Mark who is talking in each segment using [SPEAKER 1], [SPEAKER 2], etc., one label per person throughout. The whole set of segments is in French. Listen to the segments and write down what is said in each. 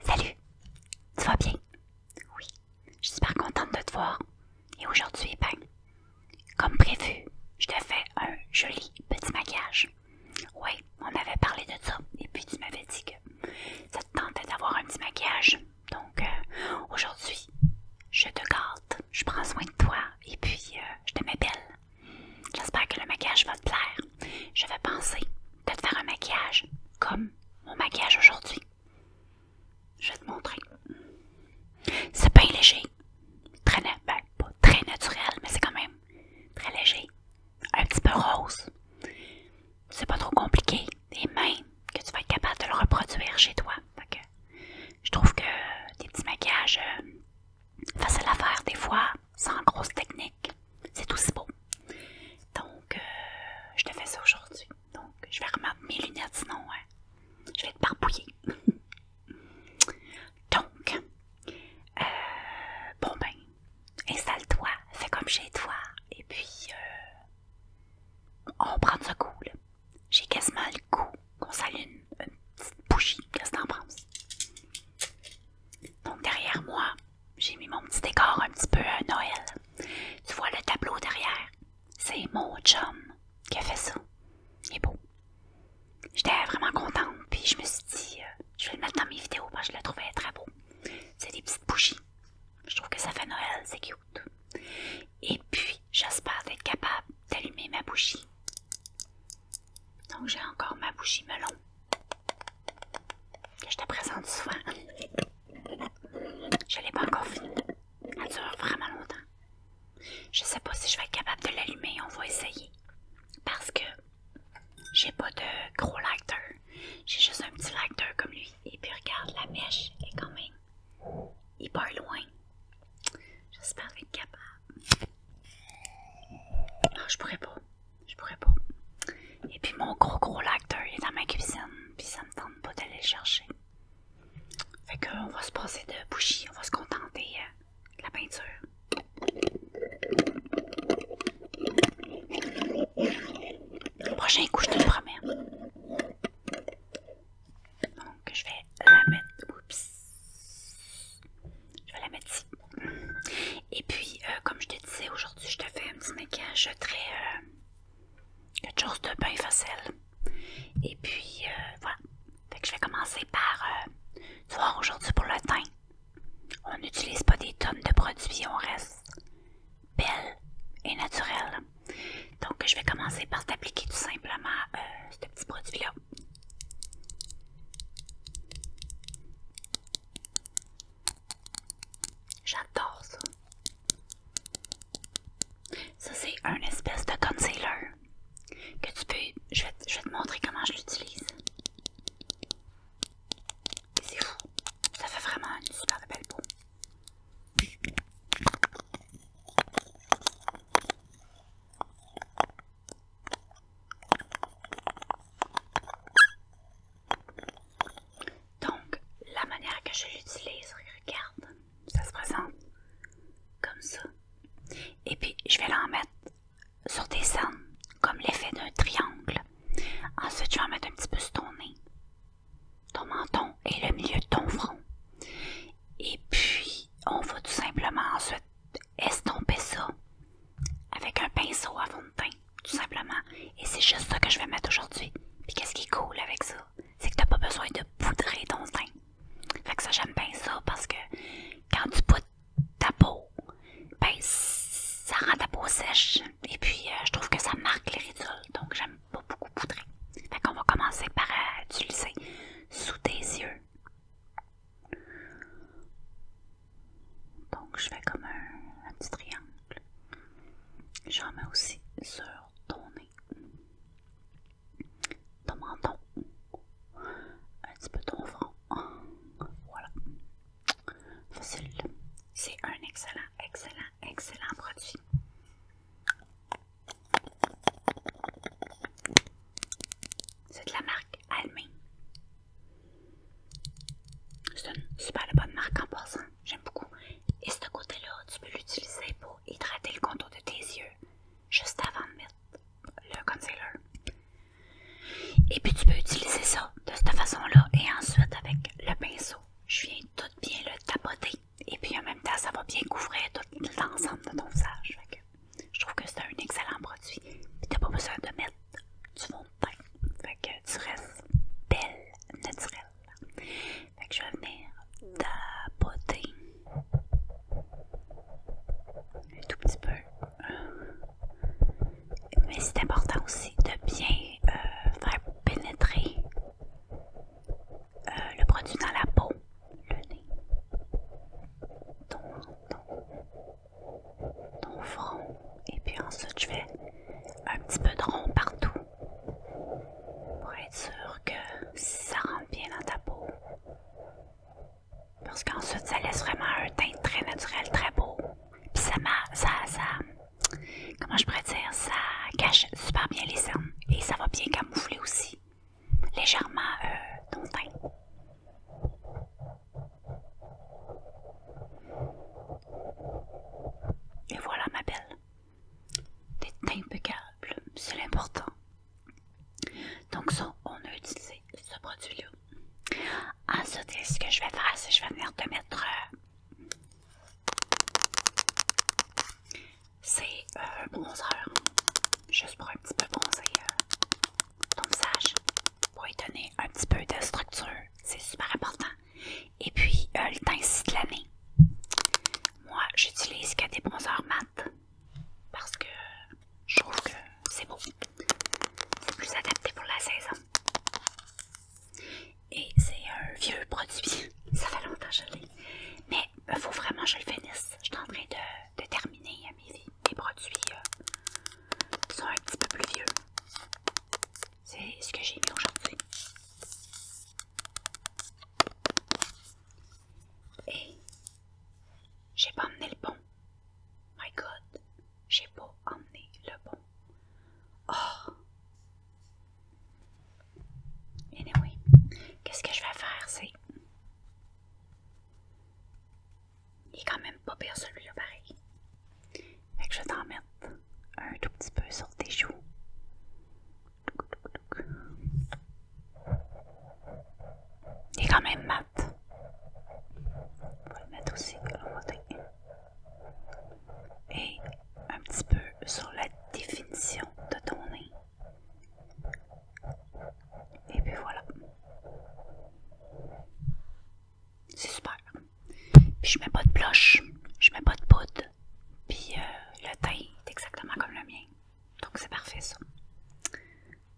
[SPEAKER 1] Salut, tu vas bien? Oui, je suis super contente de te voir. Et aujourd'hui, ben, comme prévu, je te fais un joli petit maquillage. Oui, on avait parlé de ça, et puis tu m'avais dit que ça te tentait d'avoir un petit maquillage. Donc, euh, aujourd'hui, je te garde, je prends soin de toi, et puis euh, je te mets belle. J'espère que le maquillage va te plaire je vais penser de te faire un maquillage, comme mon maquillage aujourd'hui. Je vais te montrer. C'est pas léger. Très, ben, pas très naturel, mais c'est quand même très léger. Un petit peu rose. C'est pas trop compliqué. Et même que tu vas être capable de le reproduire chez toi. je trouve que des petits maquillages euh, faciles à faire des fois, sans grosse technique. C'est aussi beau. Donc, euh, je te fais ça aujourd'hui. Donc, je vais remettre mes lunettes, sinon, hein. je vais te parbouiller Donc, euh, bon ben, installe-toi, fais comme chez toi, et puis euh, on prend ce coup. Cool. J'ai quasiment le goût qu'on s'allume une petite bougie. quest t'en Donc, derrière moi, j'ai mis mon petit décor un petit peu à Noël. Tu vois le tableau derrière? C'est mon chum qui a fait ça. Il est beau. J'étais vraiment contente, puis je me suis dit, euh, je vais le mettre dans mes vidéos parce que je le trouvais très beau. C'est des petites bougies. Je trouve que ça fait Noël, c'est cute. Et puis, j'espère d'être capable d'allumer ma bougie. Donc, j'ai encore ma bougie melon que je te présente souvent. Je ne l'ai pas encore fini. Elle dure vraiment longtemps. Je ne sais pas si je vais être capable de l'allumer. On va essayer. Parce que j'ai pas de gros lecteur. J'ai juste un petit lighter comme lui. Et puis regarde, la mèche est quand même hyper loin. J'espère être capable. Non, ah, je pourrais pas je pourrais pas. Et puis mon gros gros lacteur est dans ma cuisine, puis ça me tente pas d'aller le chercher. Fait on va se passer de bougie, on va se contenter euh, de la peinture. Le prochain coup, je te le promets. Donc je vais la mettre. Oups. Je vais la mettre ici. Et puis, euh, comme je te disais, aujourd'hui, je te fais un petit maquillage très. Euh, quelque chose de bien facile. Et puis, euh, voilà. Fait je vais commencer par. tu vois, aujourd'hui, pour le teint, on n'utilise pas des tonnes de produits, on reste belle et naturelle. Donc, je vais commencer par t'appliquer tout simplement ce petit produit-là. J'adore ça. Ça, c'est un espèce de concealer que tu peux. Je vais, te, montrer comment je l'utilise. C'est fou. Ça fait vraiment une super belle peau. Donc, la manière que je l'utilise, regarde, ça se présente comme ça. Et puis, je vais l'en mettre sur tes cernes, comme l'effet d'un triangle. Ensuite, je vais en mettre un petit peu sur ton nez, ton menton et le milieu de ton front. Et puis, on va tout simplement ensuite estomper ça avec un pinceau à fond de teint tout simplement. Et c'est juste ça que je vais mettre aujourd'hui. et qu'est-ce qui est cool avec ça? C'est que t'as pas besoin de poudrer ton teint. Fait que ça, j'aime bien ça parce que quand tu poudres ta peau, ben ça rend ta peau sèche. Et puis euh, je trouve que ça marque les ridules. Donc j'aime pas beaucoup poudrer. Fait qu'on va commencer par utiliser euh, sous tes yeux. Donc je fais comme un, petit triangle. J'en mets aussi sur ton nez, ton menton, un petit peu ton front. Voilà. Facile. C'est un excellent, excellent, excellent produit. C'est de la marque Almé. C'est une super bonne marque en passant, j'aime beaucoup. Et ce côté-là, tu peux l'utiliser pour hydrater le contour de tes yeux juste avant de mettre le concealer. Et puis tu peux utiliser ça de cette façon-là et ensuite avec le pinceau, je viens tout bien le tapoter et puis en même temps ça va bien couvrir tout l'ensemble de ton visage. je trouve que c'est un excellent produit. Tu n'as pas besoin de mettre du fond que tu restes belle, naturelle. Fait que je vais venir tapoter un tout petit peu. Euh, mais c'est important aussi de bien euh, faire pénétrer euh, le produit dans la peau, le nez, ton, ton, ton front, et puis ensuite, je fais un petit peu de rond partout pour être sûr que ça rentre bien dans ta peau. Parce qu'ensuite, ça laisse vraiment un teint très naturel, très beau. Puis ça, ça, comment je pourrais dire, ça cache super bien les cernes. Et ça va bien camoufler aussi, légèrement, euh, ton teint. Et voilà ma belle. T'es impeccable, c'est l'important. Donc ça, on a utilisé ce produit-là. Ensuite, ce que je vais faire, c'est que je vais venir te mettre... Euh, c'est euh, un bronzer, juste pour un petit peu bronzer euh, ton visage, pour y donner un petit peu de structure. C'est super important. Et puis, euh, le teint ici de l'année. Moi, j'utilise que des bronzeurs mat parce que je trouve que c'est beau. C'est plus adapté pour la saison. Et c'est un vieux produit. Ça fait longtemps que je l'ai. Mais il euh, faut vraiment que je le finisse. Je suis en train de, de terminer euh, mes, produits qui sont un petit peu plus vieux. C'est ce que j'ai mis aujourd'hui. Et j'ai pas emmené le bon. My God, j'ai pas emmené le bon. Oh! Anyway, qu'est-ce que je vais faire, c'est... Il est quand même pas pire celui-là, pareil. Et que je vais t'en mettre un tout petit peu sur tes joues. et quand même mat. On va le mettre aussi côté. Et un petit peu sur la définition de ton nez. Et puis voilà. C'est super. Puis je mets pas de blush, je mets pas de poudre. Puis euh, le teint est exactement comme le mien. Donc c'est parfait ça.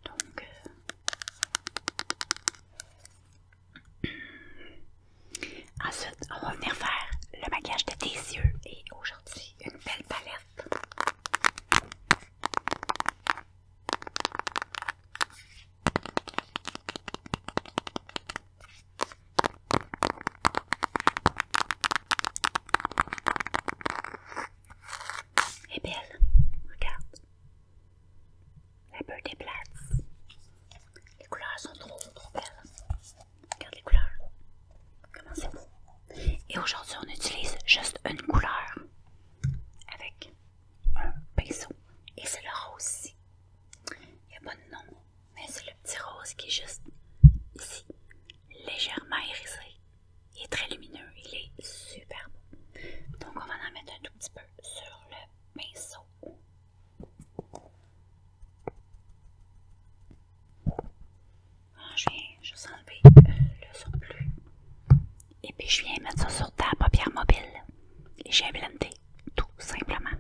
[SPEAKER 1] Donc euh, ensuite, on va venir faire le maquillage de tes yeux et aujourd'hui une belle palette. Elle est belle, regarde. La peut des Les couleurs sont trop, trop belles. Regarde les couleurs. Comment c'est beau. Et aujourd'hui, on utilise juste une couleur avec un pinceau. Et c'est le rose Il n'y a pas de nom mais c'est le petit rose qui est juste ici, légèrement irisé. Il est très lumineux, il est super beau. Donc on va en mettre un tout petit peu sur le pinceau. Ah, je viens juste enlever le surplus. Et puis je viens mettre ça sur ta paupière mobile. Et j'ai tout simplement.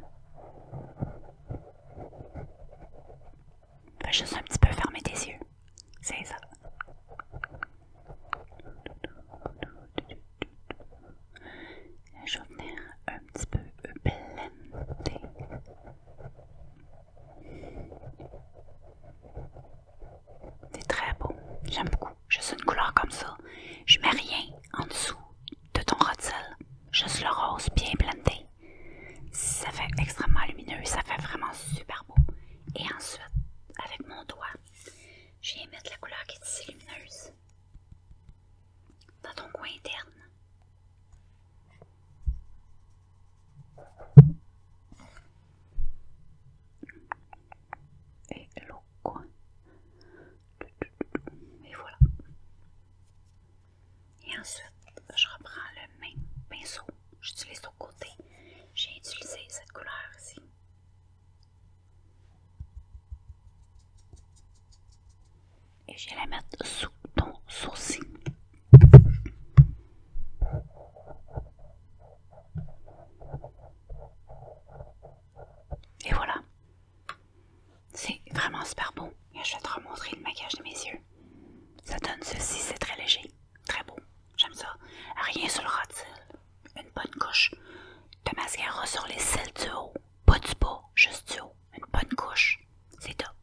[SPEAKER 1] vais juste un petit peu fermer tes yeux. C'est ça. Je vais venir un petit peu blender. C'est très beau. J'aime beaucoup. Juste une couleur comme ça. Je mets rien en dessous de ton je Juste le rose bien planté, Ça fait extrêmement lumineux, ça fait vraiment super beau. Et ensuite, avec mon doigt, je viens mettre la couleur qui est si lumineuse dans ton coin interne. Et l'autre coin. Et voilà. Et ensuite, je reprends le même pinceau. J'utilise au côté. J'ai utilisé cette couleur ici. Et je vais la mettre sous ton sourcil. Et voilà, c'est vraiment super beau. je vais te remontrer le maquillage de mes yeux. Ça donne ceci, c'est très léger, très beau. J'aime ça. Rien sur le ras de cils. Une bonne couche de mascara sur les cils du haut. Pas du bas, juste du haut. Une bonne couche. C'est top.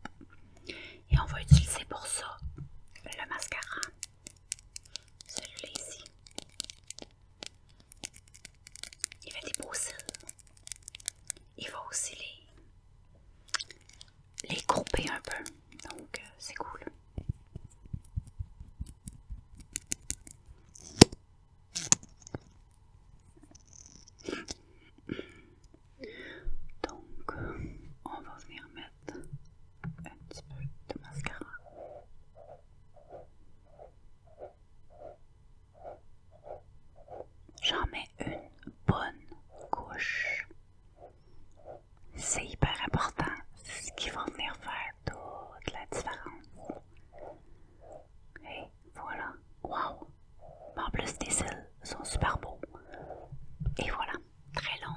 [SPEAKER 1] Et on va utiliser pour ça le mascara. celui ci il va des beaux Il va aussi les, les un peu. Donc, euh, c'est cool. Donc, on va venir mettre un petit peu de mascara. J'en mets une bonne couche. C'est hyper important. C'est ce qui va venir faire toute la différence. Et voilà. Wow! En plus, tes cils sont super beaux. Et voilà. Très long.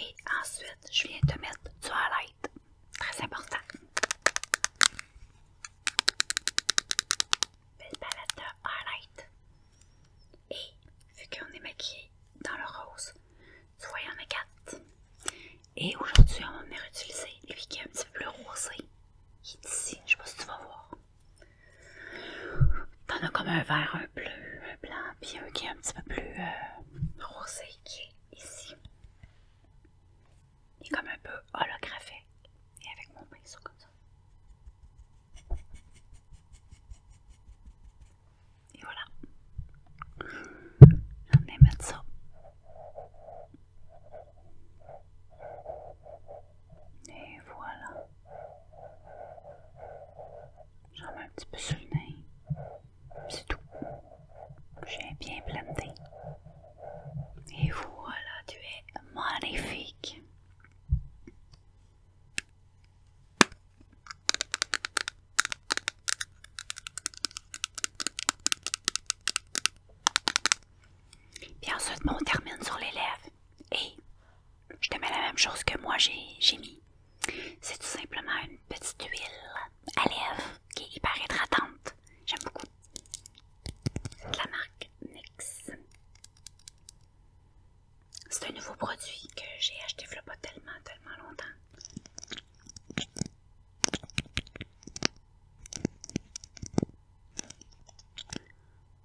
[SPEAKER 1] Et ensuite, je viens te mettre du highlight. Très important. Belle palette de highlight. Et vu qu'on est maquillé dans le rose, tu vois, il y en a quatre. Et aujourd'hui, on va venir utiliser lui qui est un petit peu plus rosé. Il est ici. Je sais pas si tu vas voir. T'en as comme un vert, un bleu, un blanc, puis un qui est un petit peu plus euh, rosé qui est ici. Il est comme un peu holographique. Et avec mon pinceau comme ça. Et voilà. On est mettre ça et voilà. J'en mets un petit peu sur le nez. C'est tout. J'ai bien planté. Et voilà, tu es magnifique. Puis ensuite, on termine sur les lèvres. Et je te mets la même chose que moi j'ai mis. C'est tout simplement une petite huile à lèvres qui est hyper hydratante. J'aime beaucoup. C'est de la marque NYX. C'est un nouveau produit que j'ai acheté il pas tellement, tellement longtemps.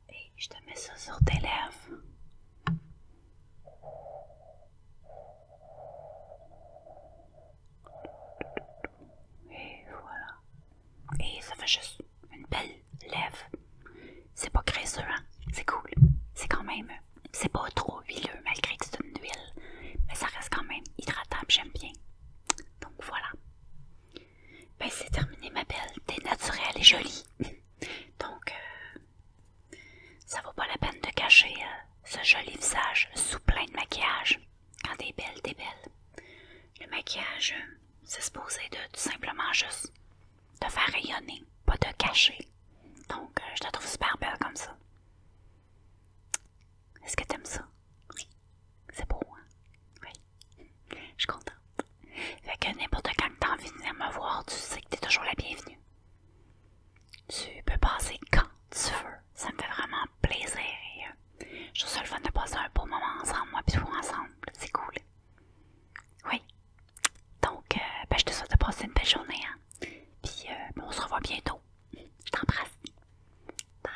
[SPEAKER 1] Et je te mets ça sur tes lèvres. Et voilà. Et ça fait juste une belle lèvre. C'est pas graisseux, hein? C'est cool. C'est quand même. C'est pas trop huileux malgré que c'est une huile. Mais ça reste quand même hydratable, j'aime bien. Donc voilà. Ben c'est terminé ma belle, t'es naturelle et jolie. Donc, euh, ça vaut pas la peine de cacher euh, ce joli visage sous plein de maquillage. Quand t'es belle, t'es belle. Le maquillage, euh, c'est supposé de tout simplement juste te faire rayonner, pas te cacher. Donc, je te trouve super belle comme ça. Est-ce que t'aimes ça? Oui. C'est beau, Oui. Je suis contente. Fait que n'importe quand que t'as envie de venir me voir, tu sais que t'es toujours la bienvenue. Tu peux passer quand tu veux. Ça me fait vraiment plaisir. je suis seule fun de passer un beau moment ensemble, moi puis vous ensemble. C'est cool. Oui. Donc, euh, ben, je te souhaite de passer une belle journée. Hein. Puis, euh, ben, on se revoit bientôt. Je t'embrasse. Bye.